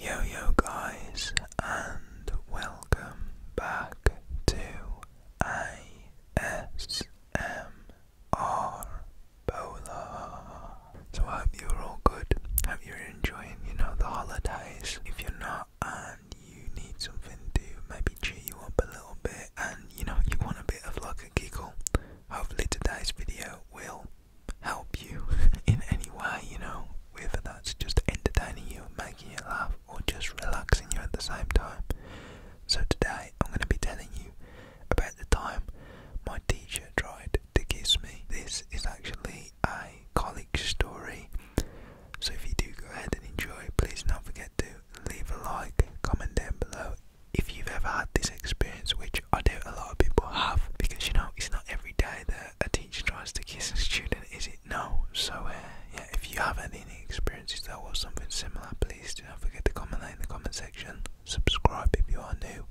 Yo yo guys and welcome back to ASMR Bola. So I hope you're all good. hope you're enjoying, you know, the holidays. If you're not and you need something to maybe cheer you up a little bit and you know you want a bit of like a giggle, hopefully today's video will help you in any way, you know, whether that's just entertaining you making you laugh or just relaxing you at the same time. So today I'm going to be telling you about the time my teacher tried to kiss me. This is actually a colleague story. So if you do go ahead and enjoy, please don't forget to leave a like, comment down below if you've ever had this experience, which I doubt a lot of people have, because you know it's not every day that a teacher tries to kiss a student, is it? No. So, uh, yeah, if you have any experiences or something similar, please do not forget to comment in the comment section. Subscribe if you are new,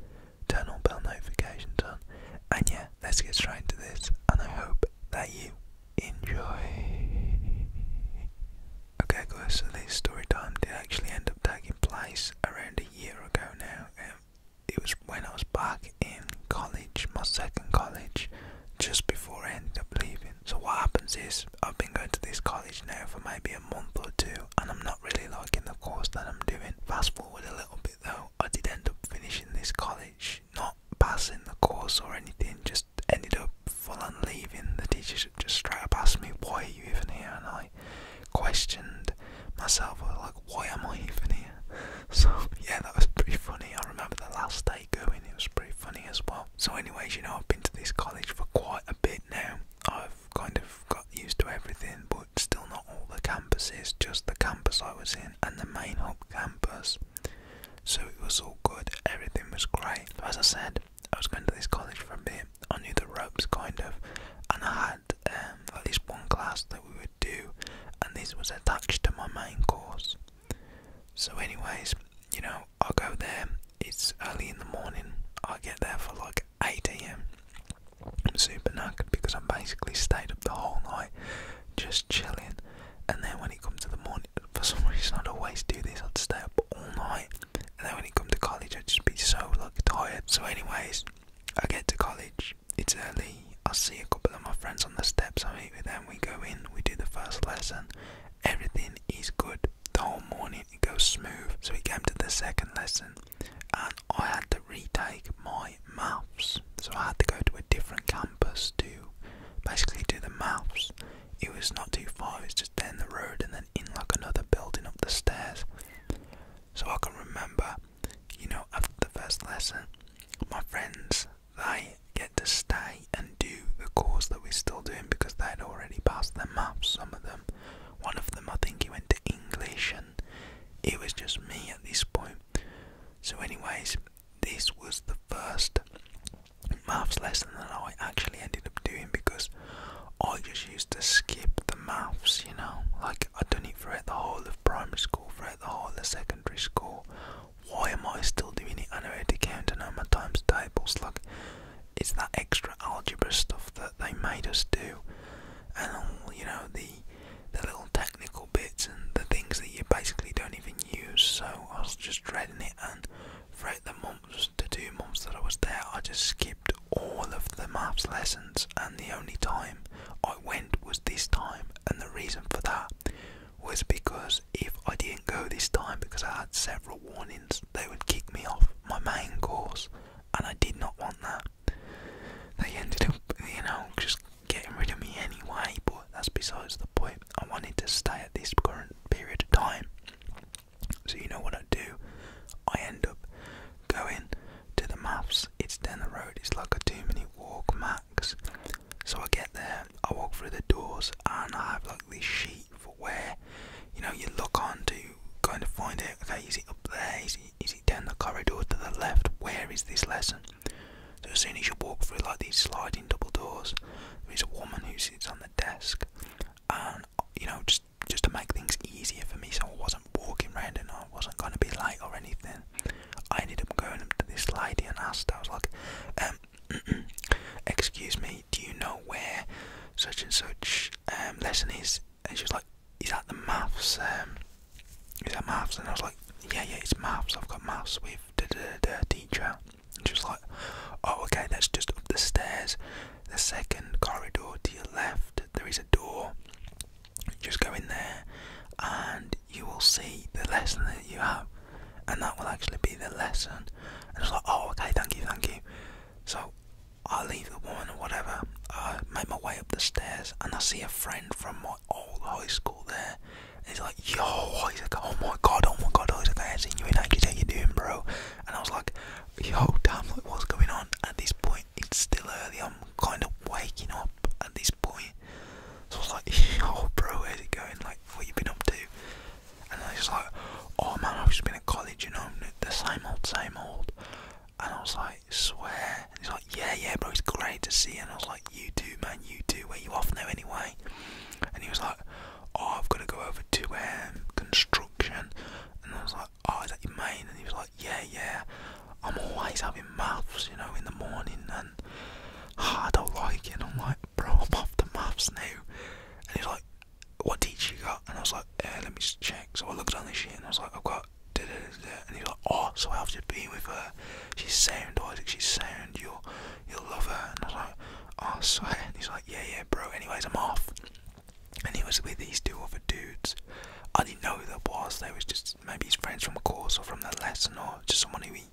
turn on bell notification. on, and yeah, let's get straight into this. And I hope that you enjoy. Okay, guys, so this story time did actually end up taking place around a year ago now. Um, it was when I was back in college, my second college, just before I ended up leaving. So what happens is I've been going to this college now for maybe a month or two, and I'm not really liking the course that I'm doing. Fast forward a little bit though, I did end up finishing this college, not passing the course or anything, just ended up falling, on leaving. The teacher just straight up asked me, "Why are you even here?" and I questioned myself I like, why am I even here? So yeah, that was pretty funny. I remember the last day going, it was pretty funny as well. So anyways, you know, I've been to this college for quite a bit now. I've kind of got used to everything, but still not all the campuses, just the campus I was in and the main hub campus. So it was all good, everything was great. As I said, I was going to this college for a bit. I knew the ropes kind of, and I had um, at least one class that we would do, and this was attached to my main course. So, anyways, you know, I go there, it's early in the morning, I get there for like 8 am. I'm super knackered because I basically stayed up the whole night just chilling, and then when it comes to the morning, for some reason, I'd always do this, I'd stay up all night, and then when it comes to college, I'd just be so like tired. So, anyways, I get to college it's early. I see a couple of my friends on the steps. I meet with them. We go in. We do the first lesson. Everything is good. The whole morning it goes smooth. So we came to the second lesson, and I had to retake my maths. So I had to go to a different campus to basically do the maths. It was not too far. It's just down the road and then in like another building up the stairs. So I can remember you know, after the first lesson, my friends, they get to stay and do the course that we're still doing because they'd already passed their maths, some of them. One of them, I think he went to English, and it was just me at this point. So, anyways, this was the first maths lesson that I actually ended up doing because I just used to skip the maths, you know, like like I've done it throughout the whole of primary school, throughout the whole of secondary school. Why am I still doing it? I know how to count, I my times tables. Like it's that extra algebra stuff that they made us do, and all um, you know the the little technical bits and the things that you basically don't even use. So I was just dreading it, and throughout the months to two months that I was there, I just skipped all of the maths lessons, and the only time I I went was this time, and the reason for that was because if I didn't go this time because I had several warnings, they would kick me off my main course, and I did not want that. They ended up, you know, just getting rid of me anyway, but that's besides the point. I wanted to stay at this current period of time. So, you know what I do? I end up going to the maths it's down the road. It's like a two-minute walk max. So I get there. I walk through the doors, and I have like this sheet for where, you know, you look on to kind of find it. Okay, is it up there? Is it, is it down the corridor to the left? Where is this lesson? So as soon as you walk through like these sliding double doors, there is a woman who sits on the desk, and you know, just just to make things easier for me, so I wasn't walking around and I wasn't going to be late or anything. I ended up going up to this lady and asked, I was like, um, excuse me, do you know where such and such um, lesson is? And she was like, is that the maths? Um, is that maths? And I was like, yeah, yeah, it's maths. I've got maths with the teacher. And she was like, oh, okay, that's just up the stairs, the second corridor to your left. There is a door. Just go in there, and you will see the lesson that you have, and that will actually be the lesson. And it's like, oh, okay, thank you, thank you. So I leave the woman or whatever. I make my way up the stairs, and I see a friend from my old high school there. And he's like, yo, He's like, oh my god, oh my god, Isaac, I haven't seen you in ages, how you doing, bro? And I was like, yo, damn, what's going on? At this point, it's still early, I'm kind of waking up at this point. So I was like, "Oh, bro, how's it going? Like, what you been up to?" And I was like, "Oh man, I've just been at college, you know, the same old, same old." And I was like, "Swear." And he's like, "Yeah, yeah, bro, it's great to see." You. And I was like, "You too, man. You too. Where you off now, anyway?" And he was like, "Oh, I've got to go over to um construction." And I was like, "Oh, is that your main?" And he was like, "Yeah, yeah." I'm always having maths, you know, in the morning, and oh, I don't like it. And I'm like, bro, I'm off the maths now. And he's like, what teacher you got? And I was like, eh, let me check. So I looked on this shit, and I was like, I've got. Da, And he's like, oh, so after being with her, she's sound, Isaac. She's sound. You'll, you'll love her. And I was like, oh, swear. he's like, yeah, yeah, bro. Anyways, I'm off. And he was with these two other dudes. I didn't know who that was. They was just maybe his friends from a course or from the lesson or just someone who he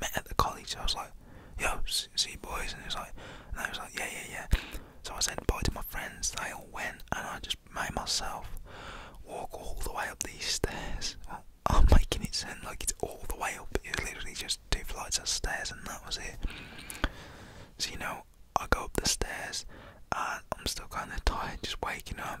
met at the college. I was like, "Yo, see boys," and he was like, and I was like, "Yeah, yeah, yeah." So I said bye to my friends. They all went, and I just made myself walk all the way up these stairs. I'm making it sound like it's all the way up. It's literally just two flights of stairs, and that was it. So you know, I go up the stairs, and I'm still kind of tired, just waking up.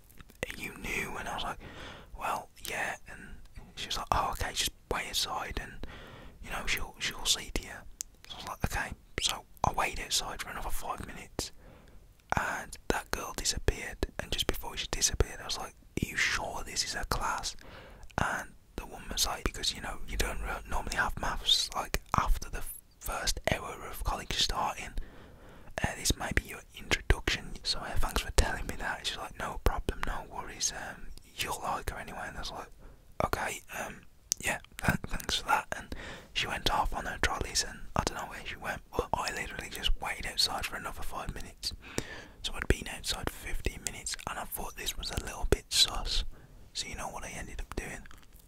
you knew? And I was like, well, yeah. And she was like, oh, okay, just wait aside, and you know, she'll she'll see to you. So I was like, okay. So I waited outside for another five minutes, and that girl disappeared. And just before she disappeared, I was like, are you sure this is her class? And the woman was like, because you know, you don't normally have maths like after the first hour of college starting. Uh, this might be your introduction. So uh, thanks for telling me that. She's like, no problem, no worries. Um, you'll like her anyway. And I was like, okay, um, yeah, thanks for that. And she went off on her trolleys, and I don't know where she went, but I literally just waited outside for another five minutes. So I'd been outside 15 minutes, and I thought this was a little bit sus. So you know what I ended up doing?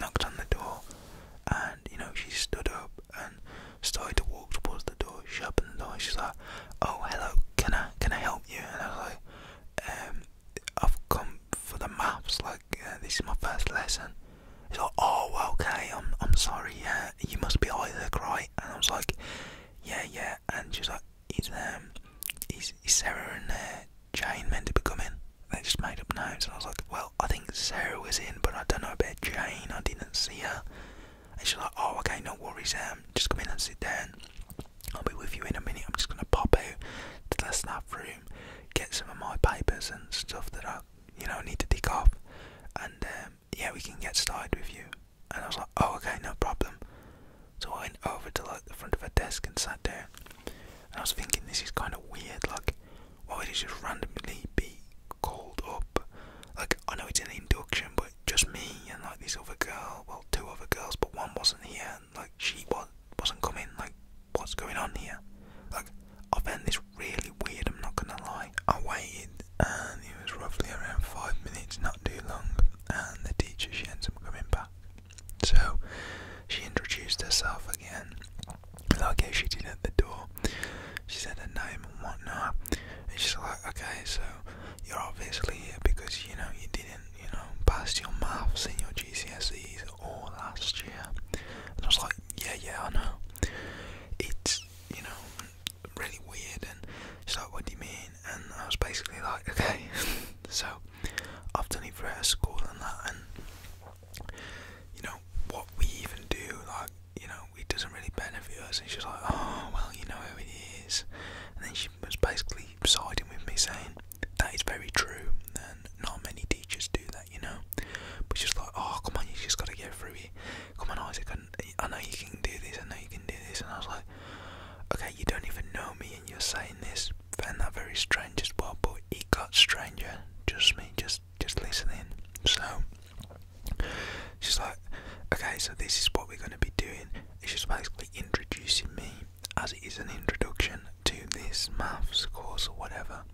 knocked on the door, and you know, she stood up and started to walk towards the door. She opened the door, she's like, Oh, hello, can I, can I help you? And I was like, um, I've come for the maths, like, uh, this is my first lesson. He's like, oh, okay, I'm, I'm sorry, yeah, you must be Isaac, right? And I was like, yeah, yeah, and she's like, is, um, is, is Sarah in there? Jane meant to be coming. They just made up names, and I was like, well, I think Sarah was in, but I don't know about Jane. I didn't see her. And she's like, oh, okay, no worries, um, just come in and sit down. I'll be with you in a minute. I'm just gonna pop out to the staff room, get some of my papers and stuff that I, you know, need to tick off, and um, yeah, we can get started with you. And I was like, oh, okay, no problem. So I went over to like the front of her desk and sat down. And I was thinking, this is kind of weird. Like, why would it just randomly be called up? Like, I know it's an induction, but just me and like this other girl, well, two other girls, but one wasn't here, and like she was, wasn't coming. Like, what's going on here? Like, I found this really weird, I'm not gonna lie. I waited, and it was roughly around five minutes, not too long, and the teacher, she ends up coming back. So she introduced herself again, like how she did at the door. She said her name and whatnot. And she's like, okay, so you're obviously here because you know you didn't, you know, pass your maths and your GCSEs all last year. And I was like, yeah, yeah, I know. It's, you know, really weird. And she's like, what do you mean? And I was basically like, okay, so I've done it for her school and that, and you know, what we even do, like, you know, it doesn't really benefit us. And she's like, oh, well, you know who it is. And then she was basically siding with me, saying, that is very true, and not many teachers do that, you know. But she's like, oh, come on, you just got to get through it. Come on, Isaac, I, I know you can do this, I know you can do this. And I was like, okay, you don't even know me, and you're saying this found that very strange as well, but it got stranger. Just me, just just listening. So she's like, okay, so this is what we're going to be doing. It's just basically introducing me, as it is an introduction to this maths course or whatever.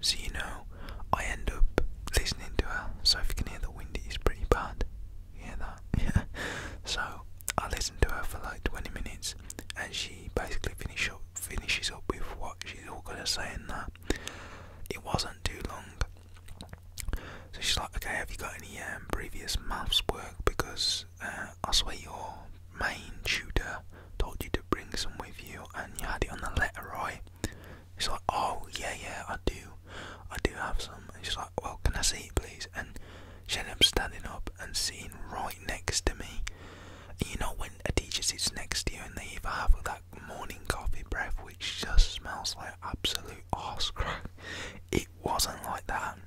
So you know, I end up listening to her. So if you can hear the wind, it is pretty bad. hear that? Yeah. So I listen to her for like 20 minutes, and she basically finishes up, finishes up with what she's all good at saying that. It wasn't too long. So she's like, okay, have you got any um, previous maths work? Because uh, I swear your main tutor told you to bring some with you and you had it on the letter, right? She's like, oh, yeah, yeah, I do. I do have some. And she's like, well, can I see it, please? And she ends up standing up and sitting right next to me. You know when a teacher sits next to you and they either have that morning coffee breath which just smells like absolute arse crack. It wasn't like that.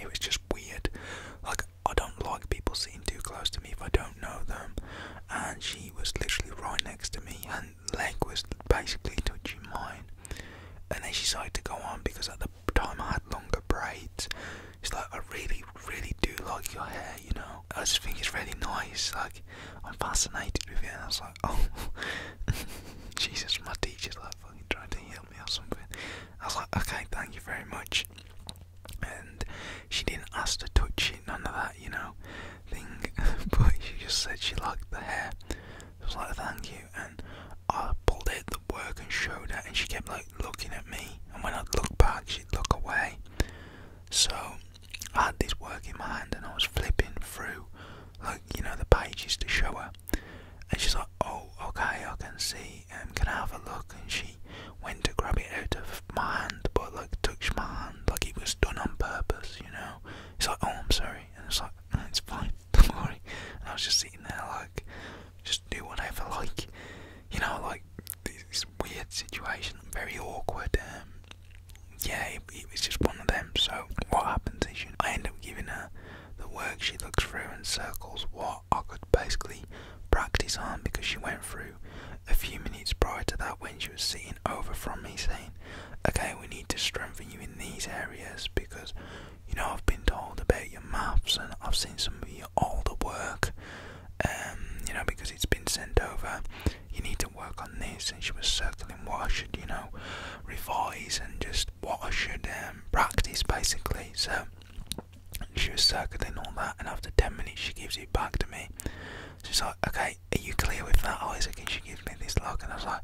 It was just weird. Like I don't like people sitting too close to me if I don't know them. And she was literally right next to me and leg was basically touching mine. And then she decided to go on because at the time I had longer braids it's like I really, really do like your hair, you know. I just think it's really nice. Like I'm fascinated with it." And I was like, "Oh, Jesus!" My teacher's like fucking trying to help me or something. I was like, "Okay, thank you very much." And she didn't ask to touch it, none of that, you know, thing. but she just said she liked the hair. I was like, "Thank you," and I pulled it at the work and showed her, and she kept like looking at me, and when I'd look back, she'd look away. So I had this work in my hand, and I was flipping through, like you know, the pages to show her. And she's like, "Oh, okay, I can see. Um, can I have a look?" And she went to grab it out of my hand, but like touched my hand, like it was done on purpose, you know. She's like, "Oh, I'm sorry," and it's like, "It's fine, don't worry." And I was just sitting there like, just do whatever like you know, like this weird situation, very awkward. Um, yeah, it, was just one of them. So what happens is, I end up giving her the work. She looks through and circles what I could basically practice on because she went through a few minutes prior to that when she was sitting over from me saying, "Okay, we need to strengthen you in these areas because." You know, I've been told about your maths and I've seen some of you all the work, um, you know, because it's been sent over. You need to work on this, and she was circling what I should, you know, revise and just what I should um, practice basically. So she was circling all that, and after 10 minutes, she gives it back to me. She's like, Okay, are you clear with that, Isaac? "Can she give me this look, and I was like,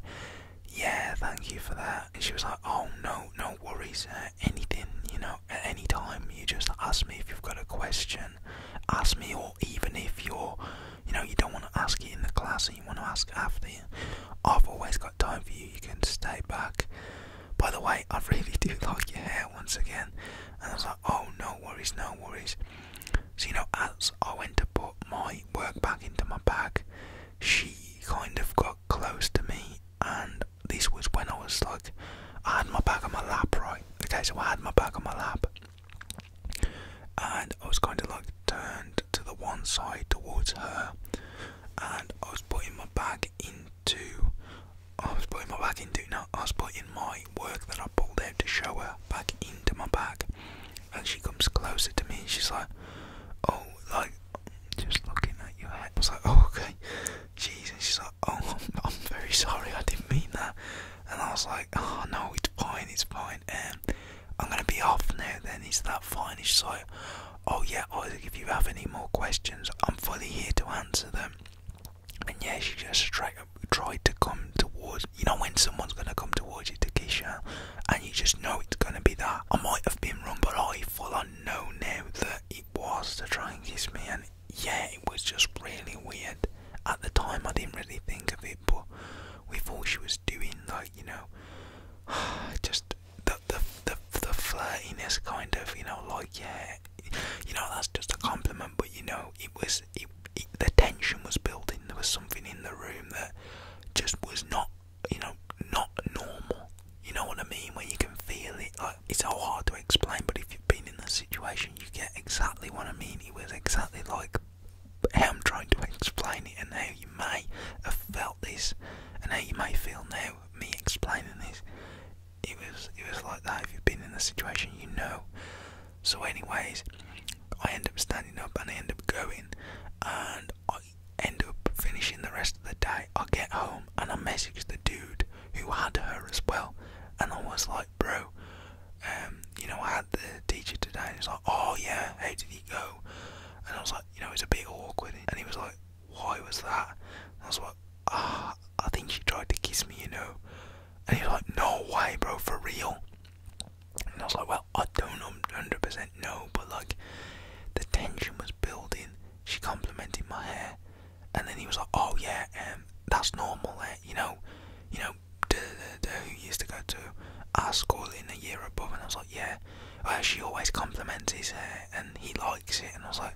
yeah, thank you for that. And she was like, oh, no, no worries, uh, anything, you know, at any time. You just ask me if you've got a question. Ask me, or even if you're, you know, you don't want to ask it in the class and you want to ask after. I've always got time for you. You can stay back. By the way, I really do like your hair once again. And I was like, oh, no worries, no worries. So, you know, as I went to put my work back into my bag, she kind of got close to me and this was when I was like, I had my bag on my lap, right? Okay, so I had my bag on my lap, and I was going to like turned to the one side towards her, and I was putting my bag into, I was putting my bag into, no, I was putting my work that I pulled out to show her back into my bag, and she comes closer to me, and she's like, oh, like, just looking at your head. I was like, oh, okay. Jesus, she's like, oh, I'm, very sorry, I didn't mean that. And I was like, oh no, it's fine, it's fine. And um, I'm gonna be off now. Then is that fine? He's like, oh yeah, Isaac, if you have any more questions, I'm fully here to answer them. And yeah, she just tried to come towards. You know when someone's gonna come towards you to kiss you, and you just know it's gonna be that. I might have been wrong, but I full on know now that it was to try and kiss me, and yeah, it was just really weird. At the time, I didn't really think of it, but we thought she was doing like you know, just the the the, the flirtiness kind of you know like yeah, you know that's just a compliment, but you know it was it, it the tension was building. There was something in the room that just was not you know not normal. You know what I mean? Where you can feel it it's all hard to explain, but if you've been in that situation, you get exactly what I mean. It was exactly like how I'm trying to explain it, and how you may have felt this, and how you may feel now. Me explaining this, it was it was like that. If you've been in the situation, you know. So, anyways, I end up standing up and I end up going, and I end up finishing the rest of the day. I get home and I message the dude who had her as well, and I was like, bro, um, you know, I had the teacher today, and he's like, oh yeah, how did he go? And I was like, you know, it's a bit awkward. And he was like, why was that? And I was like, ah, I think she tried to kiss me, you know. And he's like, no way, bro, for real. And I was like, well, I don't 100% know, but like, the tension was building. She complimented my hair and then he was like, "Oh yeah, um, that's normal. Eh? You know, you know, duh, duh, who used to go to our school in the year above." And I was like, "Yeah, well, oh, she always compliments his hair, and he likes it." And I was like,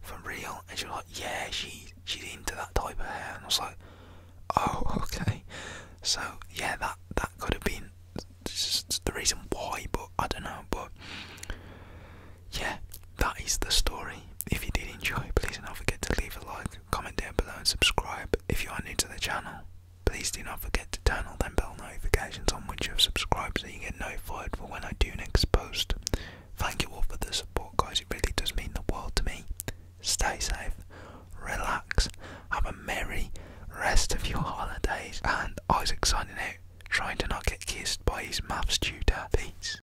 "For real?" And she was like, "Yeah, she she's into that type of hair." And I was like, "Oh, okay." So yeah, that that could have been the reason why, but I don't know. But yeah, that is the story. If you did enjoy, please do not forget to leave a like, comment down below, and subscribe. If you are new to the channel, please do not forget to turn on them bell notifications on which you have subscribed so you get notified for when I do next post. Thank you all for the support, guys. It really does mean the world to me. Stay safe, relax, have a merry rest of your holidays, and Isaac signing out, trying to not get kissed by his maths tutor. Peace.